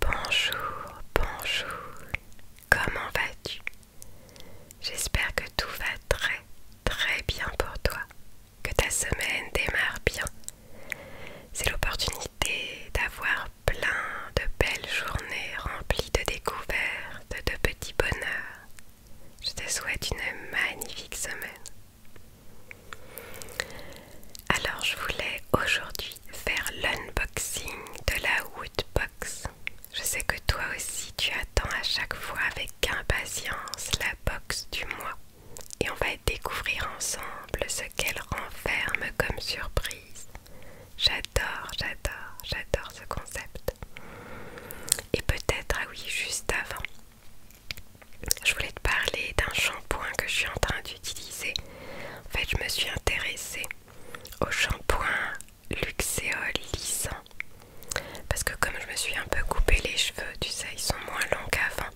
Bonjour, bonjour, comment vas-tu J'espère que tout va très, très bien pour toi, que ta semaine démarre bien. C'est l'opportunité d'avoir plein de belles journées remplies de découvertes, de petits bonheurs. Je te souhaite une magnifique semaine. Alors je voulais aujourd'hui faire l'unboxing de la Woodbox. Je sais que toi aussi tu attends à chaque fois avec impatience la box du mois et on va découvrir ensemble ce qu'elle renferme comme surprise. J'adore, j'adore, j'adore ce concept. Et peut-être, ah oui, juste avant, je voulais te parler d'un shampoing que je suis en train d'utiliser. En fait, je me suis intéressée au shampoing Luxéol lissant. Parce que comme je me suis un peu coupé les cheveux, tu sais, ils sont moins longs qu'avant.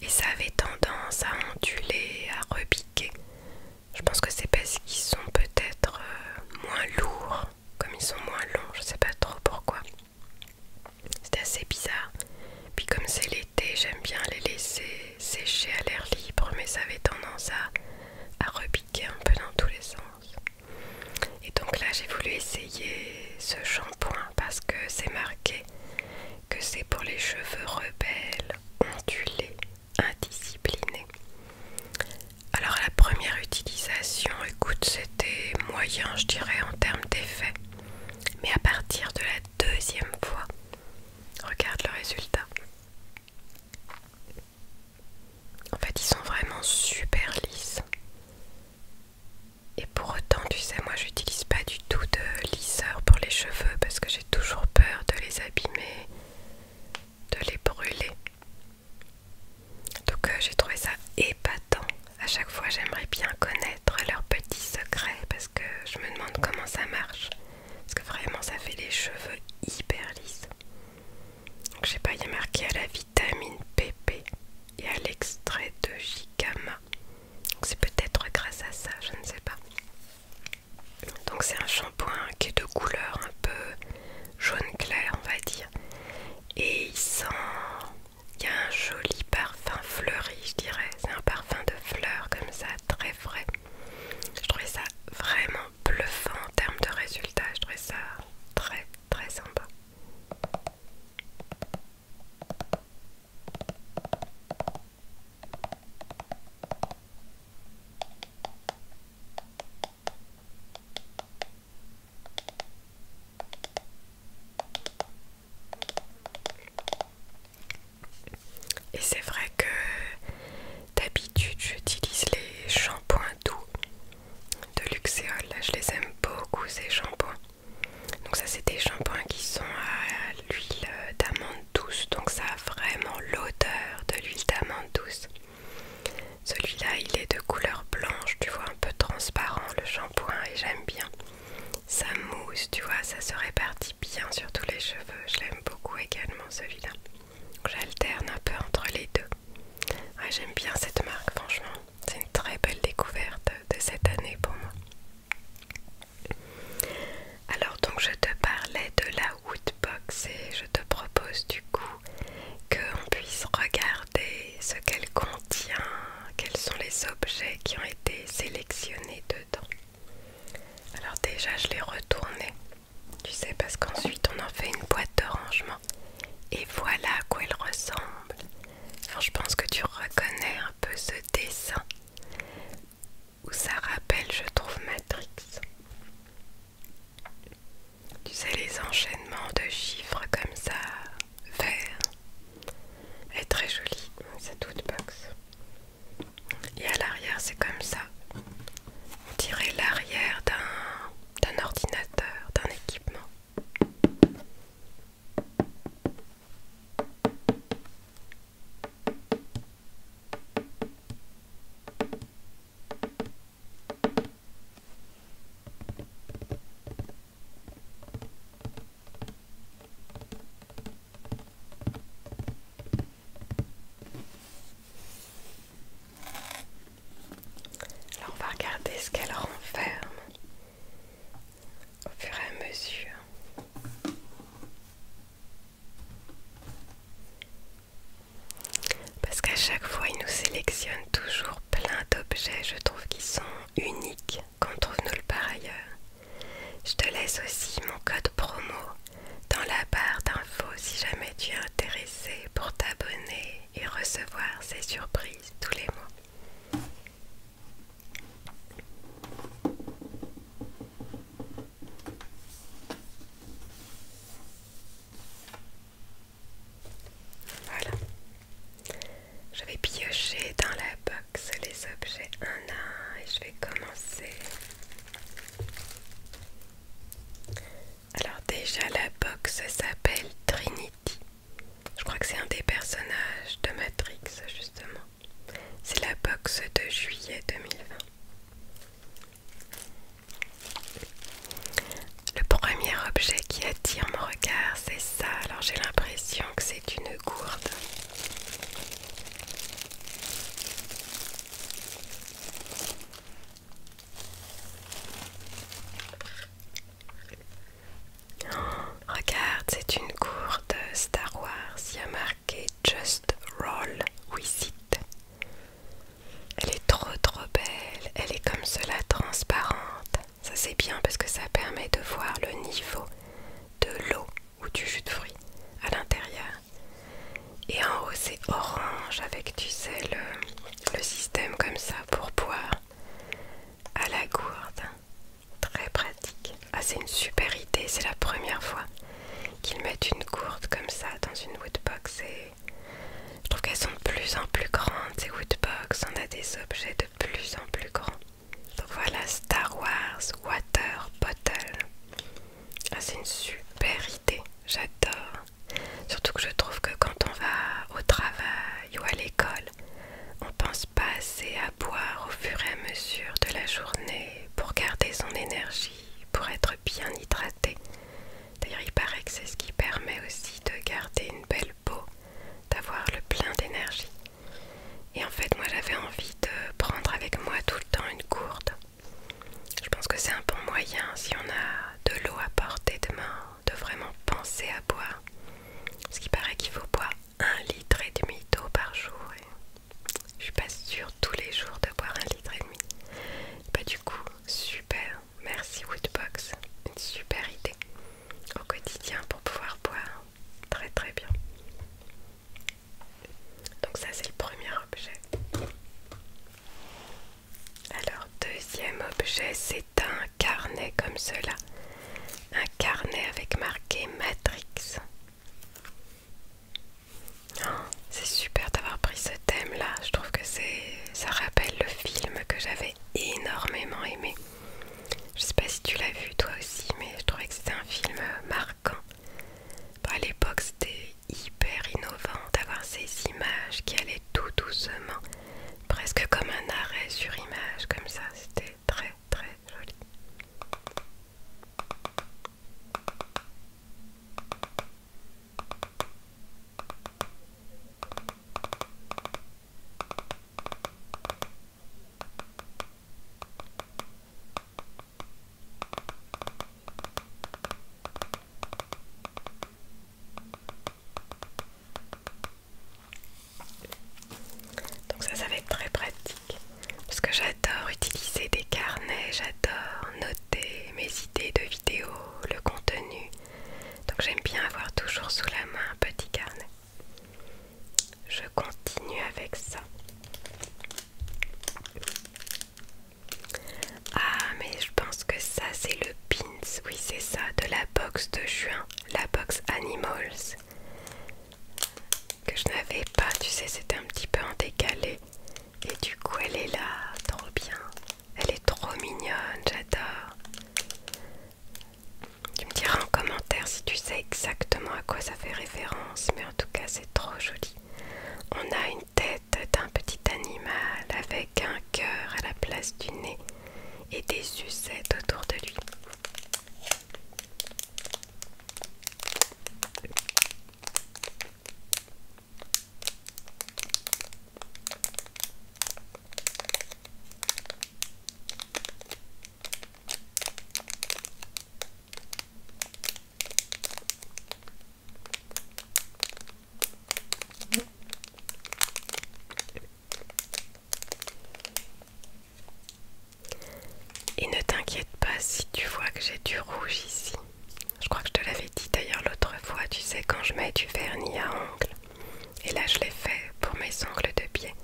Et ça avait tendance à onduler, à rebiquer Je pense que c'est parce qu'ils sont peut-être euh, moins lourds, comme ils sont moins longs, je sais pas trop pourquoi. C'était assez bizarre. Puis comme c'est l'été, j'aime bien les laisser sécher à l'air libre, mais ça avait tendance à, à repiquer un peu dans tous les sens. Et donc là, j'ai voulu essayer ce shampoing parce que c'est marqué que c'est pour les cheveux rebelles, ondulés, indisciplinés. Alors la première utilisation, écoute, c'était moyen, je dirais, en termes d'effet. Mais à partir de la deuxième fois. Regarde le résultat. En fait, ils sont vraiment super lisses. Et pour autant, tu sais, moi j'utilise pas du tout de lisseur pour les cheveux parce que j'ai toujours peur de les abîmer, de les brûler. Donc euh, j'ai trouvé ça épatant a À chaque fois, j'aimerais bien connaître leurs petits secrets parce que je me demande comment ça marche. Parce que vraiment, ça fait les cheveux hyper lisses. Donc, je sais pas, il a marqué à la vitamine PP et à l'extrait de Gigama. Donc, c'est peut-être grâce à ça, je ne sais pas. Donc, c'est un shampoing qui est de couleur un peu jaune clair, on va dire. Et il sent il y a un joli parfum fleuri, je dirais. C'est un parfum de fleurs comme ça, très frais. Je trouvais ça vraiment bluffant en termes de résultat. Je trouvais ça très très sympa. Et c'est vrai que d'habitude j'utilise les shampoings doux de Luxéol. je les aime beaucoup ces shampoings. Donc ça c'est des shampoings qui sont à l'huile d'amande douce. Donc ça a vraiment l'odeur de l'huile d'amande douce. Celui-là il est de couleur blanche, tu vois un peu transparent le shampoing et j'aime bien ça mousse, tu vois, ça se répartit bien sur tous les cheveux. Je l'aime beaucoup également celui-là. J'alterne un peu entre les deux. Ah, j'aime bien cette marque, franchement. C'est une très belle découverte de cette année pour moi. Alors donc je te parlais de la Woodbox et je te propose du coup qu'on puisse regarder ce qu'elle contient, quels sont les objets qui ont été sélectionnés dedans. Alors déjà je l'ai retourné, tu sais, parce qu'ensuite on en fait une boîte de rangement. Et voilà à quoi elle ressemble. Enfin, je pense que tu reconnais un peu ce dessin où ça rappelle, je trouve, Matrix. Tu sais, les enchaînements de chiffres comme ça, vert. et est très joli cette box. Et à l'arrière, c'est comme ça. On dirait l'arrière d'un ordinateur, d'un équipement. Alors on va regarder ce qu'elle renferme au fur et à mesure. Parce qu'à chaque fois, il nous sélectionne toujours plein d'objets, je trouve, qu'ils sont unique qu'on trouve nulle part ailleurs. Je te laisse aussi mon code promo dans la barre d'infos si jamais tu es intéressé pour t'abonner et recevoir ces surprises tous les mois. Voilà. Je vais piocher dans la box les objets un à et je vais commencer. Alors déjà la box s'appelle Trinity. Je crois que c'est un des personnages de Matrix justement. C'est la box de juillet 2020. Le premier objet qui attire mon regard, c'est ça. Alors j'ai l'impression que c'est une gourde. Oh, regarde, c'est une gourde Star Wars. Il y a marqué Just Roll With It. Elle est trop trop belle. Elle est comme cela transparente. Ça c'est bien parce que ça permet de voir le niveau de l'eau ou du jus de fruits à l'intérieur. Et en haut c'est orange avec tu sais le, système comme ça pour boire à la gourde. Très pratique. Ah c'est une super idée, c'est la première fois qu'ils mettent une gourde comme ça dans une woodbox et je trouve qu'elles sont de plus en plus grandes, ces Woodbox. On a des objets de plus en plus grands. Donc voilà, Star Wars Water Bottle. Ah, c'est une super idée, j'adore. Surtout que je trouve que quand on va au travail ou à l'école, on pense pas assez à boire au fur et à mesure de la journée pour garder son énergie, pour être bien hydraté. D'ailleurs, il paraît que c'est ce qui permet aussi de garder une belle beau, d'avoir le plein d'énergie. Et en fait, moi j'avais envie de prendre avec moi tout le temps une gourde. Je pense que c'est un bon moyen, si on a de l'eau à porter demain de vraiment penser à boire. Parce qu'il paraît qu'il faut boire un litre et demi d'eau par jour. je suis pas sûre tous les jours de boire un litre et demi. Bah, du coup, super. Merci Woodbox, une super idée au quotidien pour pouvoir boire. Très très bien. Donc ça c'est le premier objet. Alors deuxième objet, c'est un carnet comme cela. Un carnet avec marqué Matrix. Oh, c'est super d'avoir pris ce thème là, je trouve que ça rappelle le film que j'avais énormément aimé. Je sais pas si tu l'as vu toi aussi, mais je trouvais que c'était un film euh, marquant. Bah, à l'époque, c'était hyper innovant d'avoir ces images qui allaient tout doucement, presque comme un arrêt sur image, comme ça. C'était très très joli. Donc ça, ça va être très pratique parce que j'adore utiliser des carnets, j'adore noter mes idées de le contenu. Donc j'aime bien avoir toujours sous la main un petit carnet. Je continue avec ça. Ah mais je pense que ça c'est le pins, oui c'est ça, de la box de juin, la box Animals. Que je n'avais pas, tu sais, c'était un petit peu en décalé. Et du coup elle est là, trop bien. Elle est trop mignonne, j'adore. Tu me diras en commentaire si tu sais exactement à quoi ça fait référence, mais en tout cas c'est trop joli. On a une tête d'un petit animal avec un cœur à la place du nez et des sucettes autour de lui. Et ne t'inquiète pas si tu vois que j'ai du rouge ici. Je crois que je te l'avais dit d'ailleurs l'autre fois, tu sais, quand je mets du vernis à ongles. Et là, je l'ai fait pour mes ongles de pied.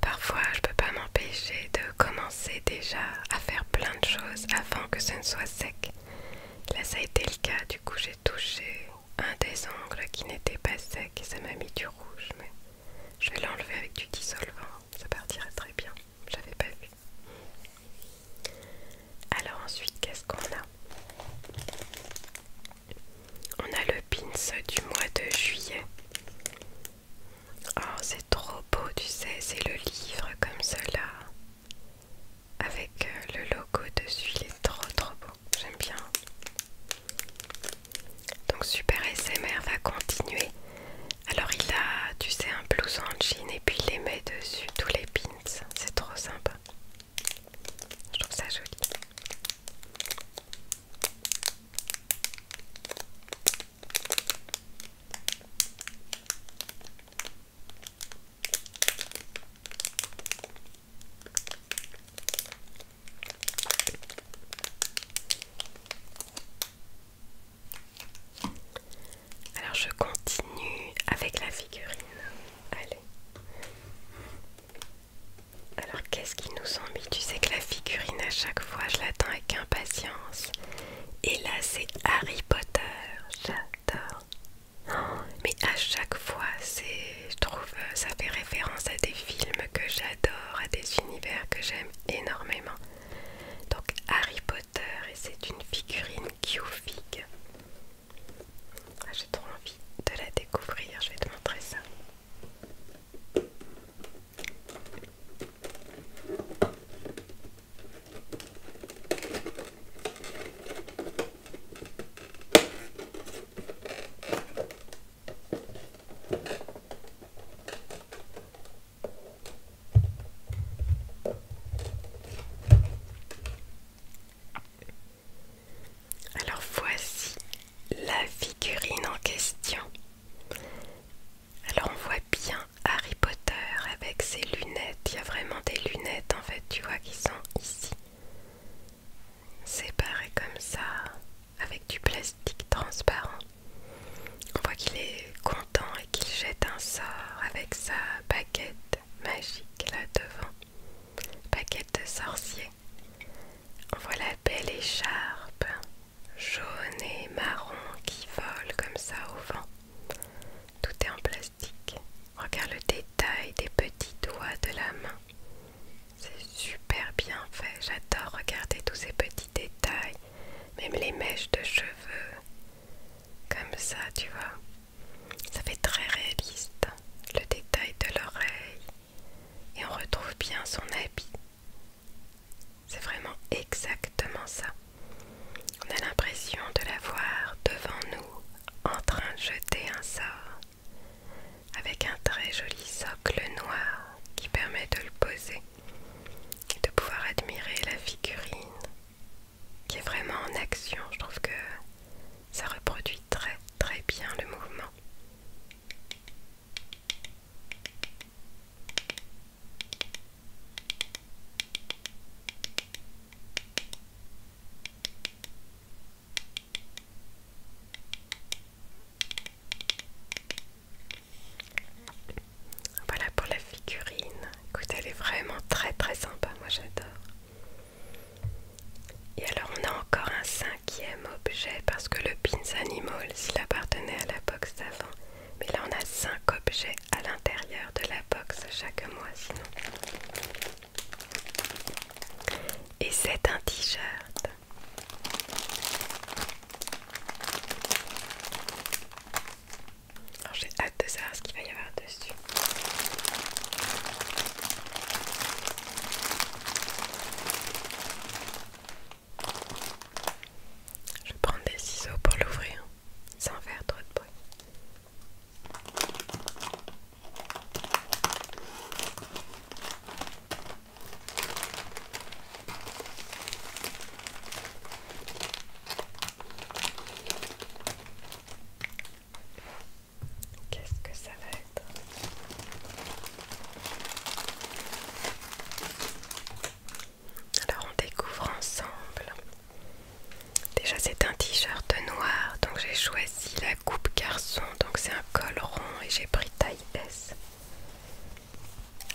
Parfois, je peux pas m'empêcher de commencer déjà à faire plein de choses avant que ce ne soit sec. Là, ça a été le cas, du coup, j'ai touché un des ongles qui n'était pas sec et ça m'a mis du rouge, mais je vais l'enlever avec du dissolvant, ça partira très bien, j'avais pas vu. Alors ensuite, qu'est-ce qu'on a On a le pins du mois de juillet. Oh, c'est trop beau, tu sais, c'est le livre comme cela. Avec euh, le logo dessus, il est trop trop beau. J'aime bien. Donc Super SMR va continuer. Alors il a, tu sais, un blouson en jean et puis il les met dessus tous les pins c'est trop sympa. Je trouve ça joli. Alors je continue avec la figurine. Allez. Alors qu'est-ce qui nous ont Tu sais que la figurine à chaque fois je l'attends avec impatience. Et là c'est Harry Potter. J'adore. mais à chaque fois c'est... Je trouve euh, ça fait référence à des films que j'adore, à des univers que j'aime énormément. Donc Harry Potter et c'est une figurine qui ah, J'ai trop envie de la découvrir, je vais te montrer ça. Alors voici la figurine en question. Alors on voit bien Harry Potter avec ses lunettes. Il y a vraiment des lunettes en fait, tu vois, qui sont ici. Séparées comme ça, avec du plastique transparent. On voit qu'il est et qu'il jette un sort avec sa baguette magique là devant. Baguette de sorcier. Voilà la belle écharpe jaune et marron qui vole comme ça au vent. Tout est en plastique. regarde le détail des petits doigts de la main. C'est super bien fait. J'adore regarder tous ces petits détails. Même les mèches de cheveux. Comme ça, tu vois. Ça fait très réaliste, le détail de l'oreille. Et on retrouve bien son habit. C'est vraiment exactement ça. On a l'impression de la voir devant nous en train de jeter un sort. Avec un très joli socle noir qui permet de le poser et de pouvoir admirer la figurine qui est vraiment en action. Je trouve que ça reproduit très très bien le mouvement. Voilà pour la figurine. Écoute, elle est vraiment très très sympa, moi j'adore. Et alors on a encore un cinquième objet parce que le Pins Animal, il appartenait à la box d'avant, mais là on a cinq objets à l'intérieur de la box chaque mois sinon. Et c'est un t-shirt j'ai hâte de savoir ce qu'il va y avoir dessus. Je vais prendre des ciseaux pour l'ouvrir sans faire trop de bruit. Qu'est-ce que ça va être Alors on découvre ensemble. Déjà c'est un t-shirt noir, donc j'ai choisi la coupe garçon, donc c'est un col rond et j'ai pris taille S.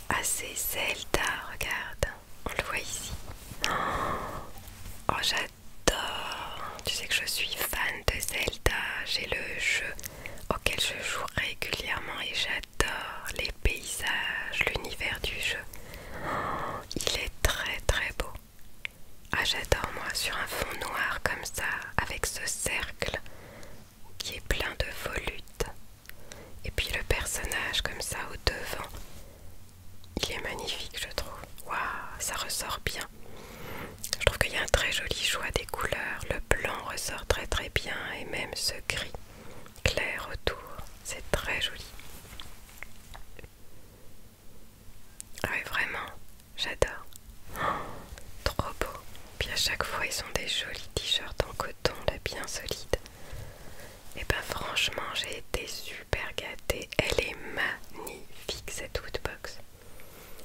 Ah c'est Zelda, regarde, on le voit ici. Oh j'adore, tu sais que je suis fan de Zelda, j'ai le jeu auquel je joue régulièrement et j'adore les paysages, l'univers du jeu. il est très très beau. Ah j'adore moi sur un fond noir comme ça, avec ce cercle qui est plein de volutes. Et puis le personnage comme ça au devant, il est magnifique je trouve. Waouh, ça ressort bien. Je trouve qu'il y a un très joli choix des couleurs. Le blanc ressort très très bien et même ce gris clair autour, c'est très joli. Ah vraiment, j'adore. Oh, trop beau. Puis à chaque fois, ils ont des jolis t-shirts en coton, là, bien solides. Et eh ben franchement j'ai été super gâtée. Elle est magnifique cette woodbox.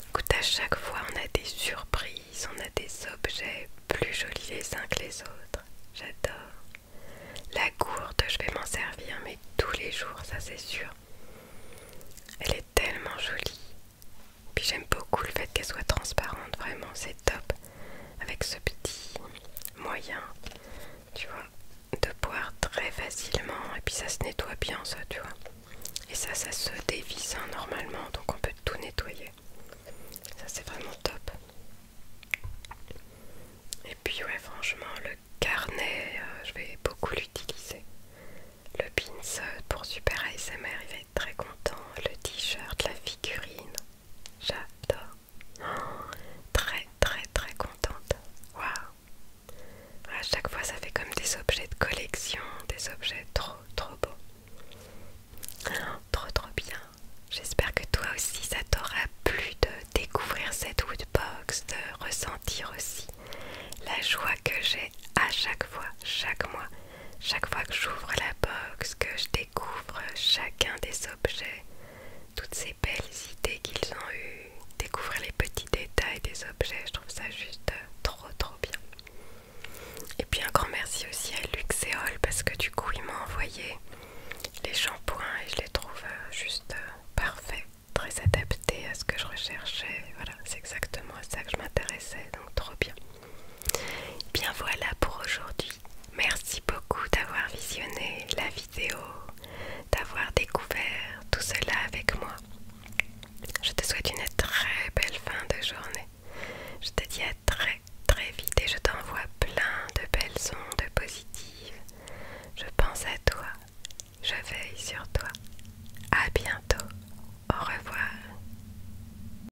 Écoute à chaque fois on a des surprises, on a des objets plus jolis les uns que les autres. J'adore. La gourde je vais m'en servir mais tous les jours ça c'est sûr. Elle est tellement jolie. Puis j'aime beaucoup le fait qu'elle soit transparente, vraiment c'est top avec ce petit moyen, tu vois, de boire très facilement et puis ça se nettoie bien ça, tu vois. Et ça, ça se dévisse hein, normalement, donc on peut tout nettoyer. Ça c'est vraiment top. Et puis ouais, franchement, le carnet, euh, je vais beaucoup l'utiliser. Le pins pour super ASMR, il très content. Le t-shirt, la figurine, j'adore. très très très contente. Waouh. À chaque fois, ça fait comme des objets de collection, des objets trop trop beaux. trop trop bien. J'espère que toi aussi, ça t'aura plu de découvrir cette woodbox, de ressentir aussi la joie que j'ai à chaque fois, chaque mois. Chaque fois que j'ouvre la box, que je découvre chacun des objets, toutes ces belles idées qu'ils ont eues, découvrir les petits détails des objets, je trouve ça juste trop trop bien. Et puis un grand merci aussi à Luxeol parce que du coup il m'a envoyé les shampoings et je les trouve euh, juste euh, parfaits, très adaptés à ce que je recherchais. Voilà, c'est exactement à ça que je m'intéressais, donc trop bien bien voilà pour aujourd'hui. Merci beaucoup d'avoir visionné la vidéo, d'avoir découvert tout cela avec moi. Je te souhaite une très belle fin de journée. Je te dis à très très vite et je t'envoie plein de belles ondes positives. Je pense à toi, je veille sur toi. À bientôt. Au revoir.